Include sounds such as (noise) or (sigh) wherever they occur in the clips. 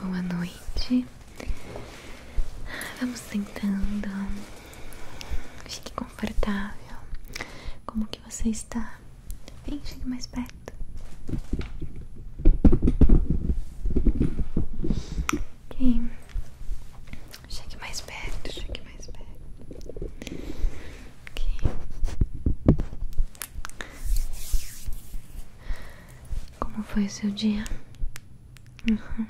Boa noite. Vamos tentando Fique confortável. Como que você está? Vem, chegue mais perto. Ok. Chegue mais perto, chegue mais perto. Ok. Como foi o seu dia? Uhum.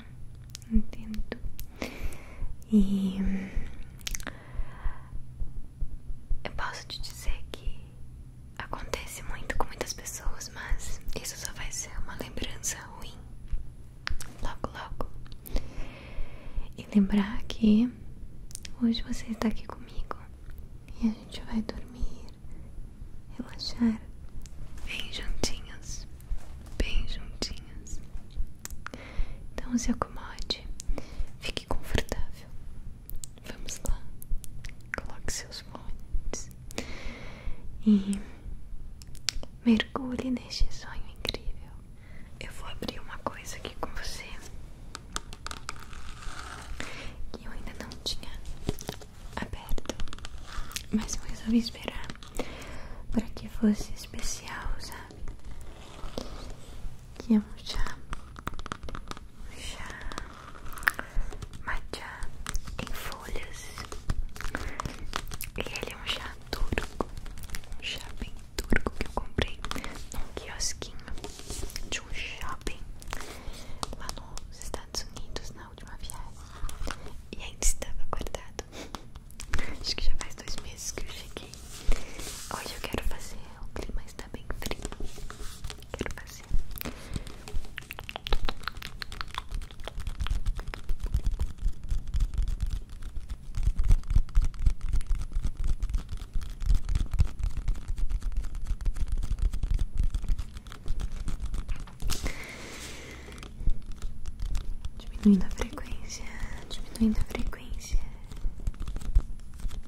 Entendo. E eu posso te dizer que acontece muito com muitas pessoas, mas isso só vai ser uma lembrança ruim. Logo, logo. E lembrar que hoje você está aqui comigo e a gente vai dormir, relaxar bem juntinhos, bem juntinhos. Então se acomode, fique confortável. Vamos lá. Coloque seus fones e mergulhe neste sonho incrível. Eu vou abrir uma coisa aqui com você que eu ainda não tinha aberto, mas eu resolvi esperar para que fosse especial usar que é um chá, um chá matcha em folhas e ele é um chá turco, um chá bem turco que eu comprei num quiosquinho de um shopping lá nos Estados Unidos na última viagem e ainda estava guardado (laughs) acho que já faz dois meses que eu cheguei hoje eu quero fazer o clima está bem frio. Quero fazer. Diminuindo a frequência, diminuindo a frequência.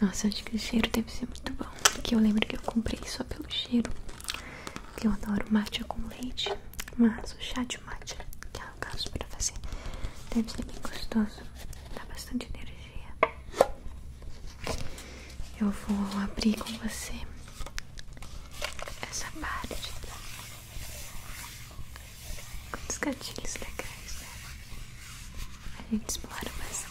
Nossa, acho que o cheiro deve ser muito bom. Porque eu lembro que eu comprei só pelo cheiro. Que eu adoro matcha com leite. Mas o chá de matcha, que é o caso pra fazer, deve ser bem gostoso. Dá bastante energia. Eu vou abrir com você essa parte Quantos gatilhos legais, né? A gente explora bastante.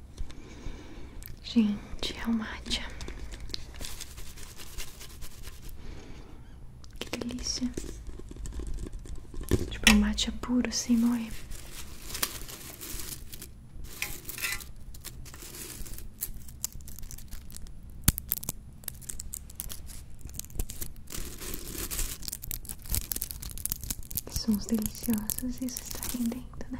Gente, é o um Que delícia. Tipo, é um matcha puro, sem assim, Que é? Sons deliciosos, isso está rendendo, né?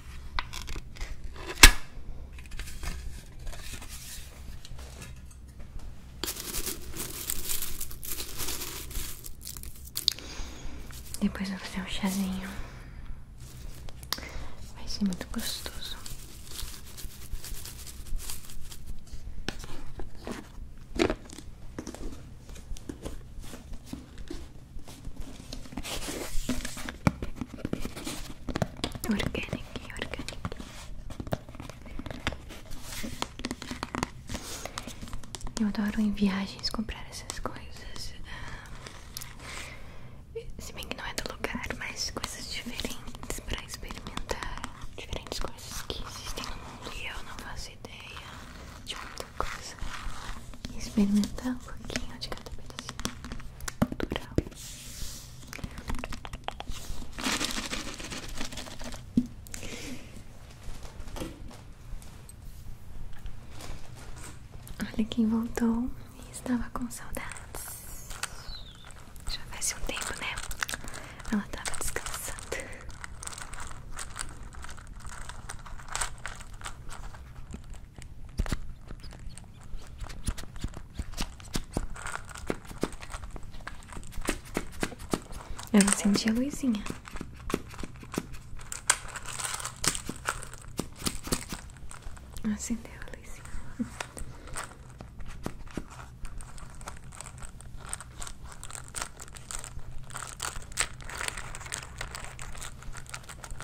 Depois vou fazer um chazinho. Vai ser muito gostoso. Organic, organic. Eu adoro em viagens comprar essas coisas. Ah, se bem que não é do lugar, mas coisas diferentes para experimentar. Diferentes coisas que existem no mundo e eu não faço ideia. Tipo, coisa experimentar um pouquinho de cada pedacinho natural. Olha quem voltou e estava com saudades. Já faz um tempo, né? Ela estava descansando. Eu acendi a luzinha. Acendeu a luzinha.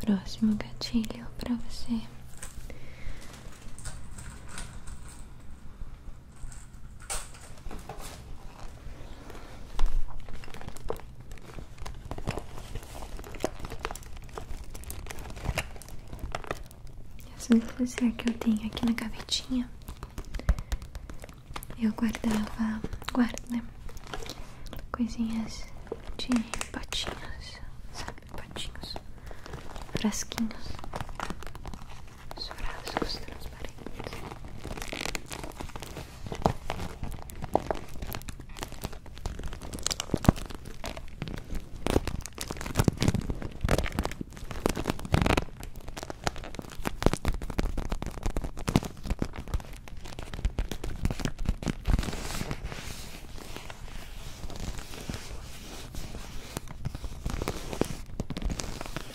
Próximo gatilho para você. Essa luzia que eu tenho aqui na gavetinha, eu guardava, guarda né? Coisinhas de potinhos, sabe? patinhos, frasquinhos, os frascos transparentes.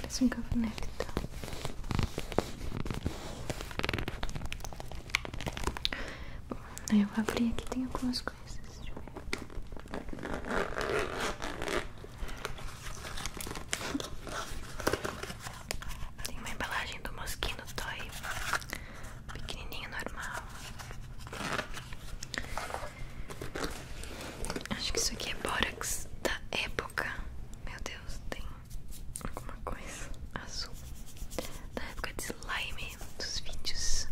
Parece um cavanete, tá? Bom, aí eu abri aqui, tem algumas coisas. Tem uma embalagem do Mosquino Toy tá pequenininho normal. Acho que isso aqui é borax da época. Meu Deus, tem alguma coisa azul. Da época de slime dos vídeos.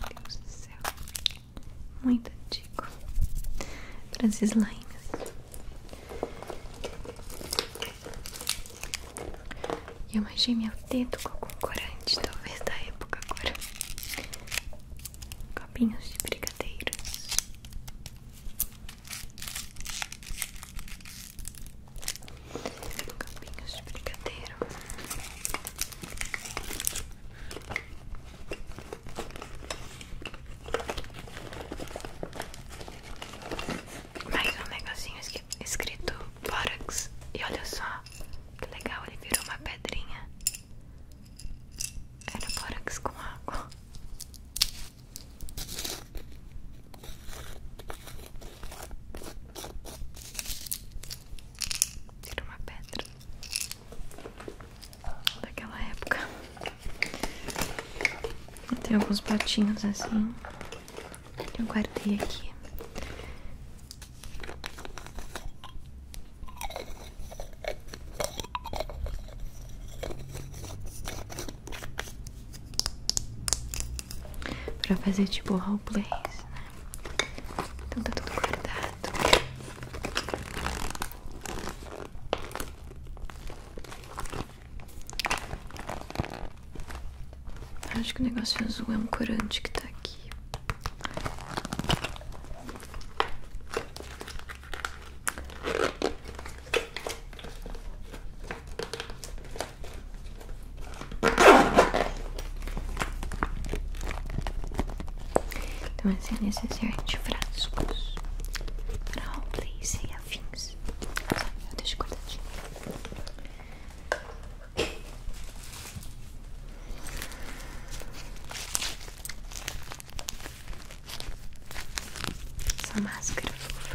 Meu Deus do céu. Muito antigo. Para as slimes. Assim. E eu manchei meu dedo com corante, talvez da época agora. Copinhos de brigadeiros. Copinhos de brigadeiro mais um negocinho escrito Borax. E olha só, que legal, ele virou uma pedrinha. Era Borax com água. Tira uma pedra daquela época. Tem alguns patinhos assim que eu guardei aqui. Pra fazer tipo roleplays, né? Então tá tudo guardado. Acho que o negócio azul é um corante que tá aqui. Então, assim, é necessário de frascos para replacear e afins. Eu deixo Essa máscara é fofa.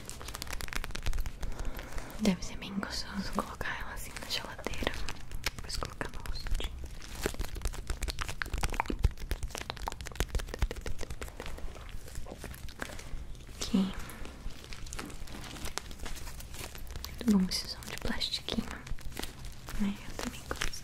Deve ser bem gostoso colocar ela assim na geladeira. Depois colocar no rosto. Aqui. Muito bom esse de plastiquinho. Eu também gosto.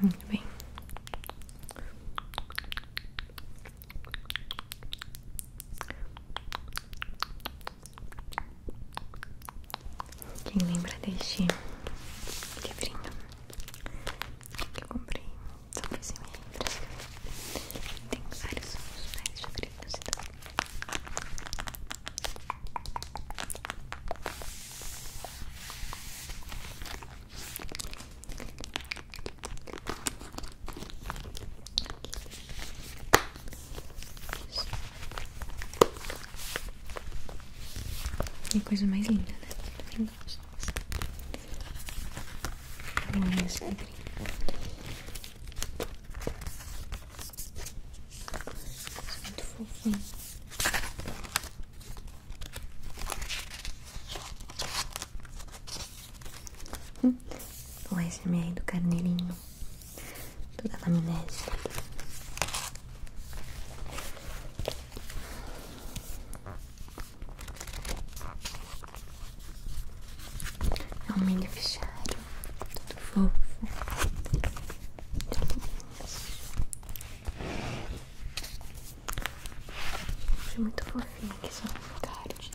Muito bem. Quem lembra deste livrinho que eu comprei sobre esse livro? Tem vários outros mais né, favoritos então. Que coisa mais linda, né? Eu tá fofinho. Hum, o meio do carneirinho, toda a É um milho fechado, tudo fofo. Achei muito fofinho que são cards.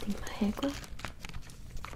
Tem uma régua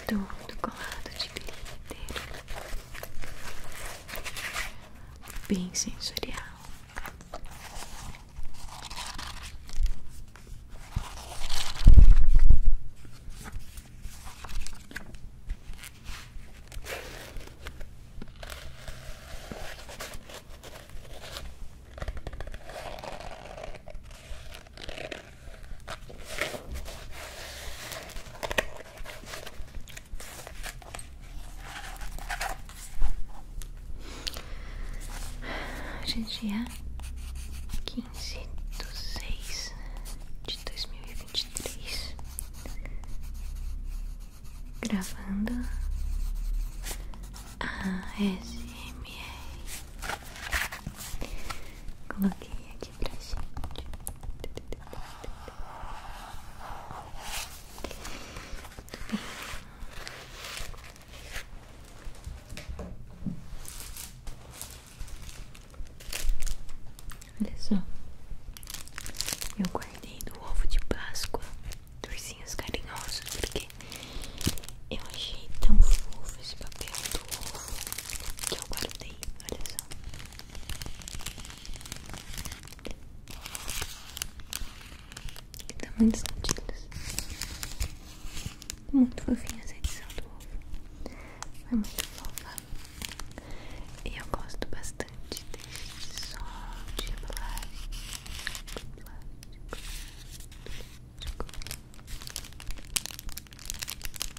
é todo colado de glitter bem sensorial Hoje é dia quinze do seis de dois mil e e vinte três Gravando a SMR Coloquei pra gente. Olha só, eu guardei do ovo de Páscoa torcinhos carinhosos porque eu achei tão fofo esse papel do ovo que eu guardei. Olha só. que Tamanhos gatilhos. Muito fofinha essa edição do ovo. Foi muito fofa. E eu gosto bastante deste som de plástico. Plástico. plástico.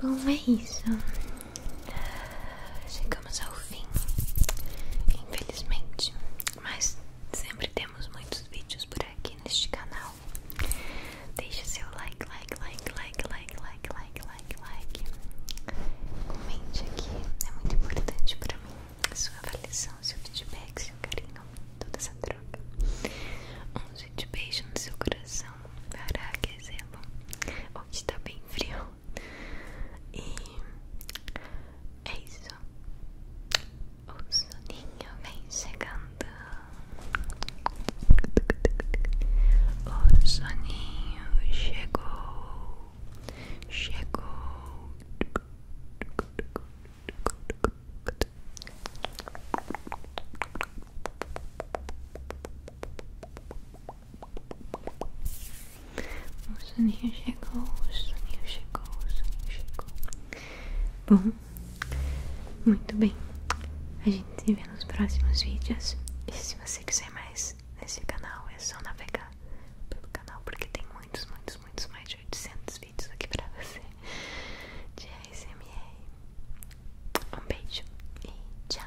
Bom, é isso. Chegamos ao fim, infelizmente, mas sempre temos muitos vídeos por aqui neste canal. Deixa seu like, like, like, like, like, like, like, like, Comente aqui, é muito importante para mim sua avaliação, seu feedback, seu carinho, toda essa troca. Um grande beijo no seu coração para aquecê Hoje está bem frio. E é isso. O soninho vem chegando. O soninho chegou. Chegou. O soninho chegou, o soninho chegou, o soninho chegou. Bom, muito bem. A gente se vê nos próximos vídeos. E se você quiser mais nesse canal, é só navegar pelo canal, porque tem muitos, muitos, muitos mais de 800 vídeos aqui pra você de ASMR. Um beijo e tchau!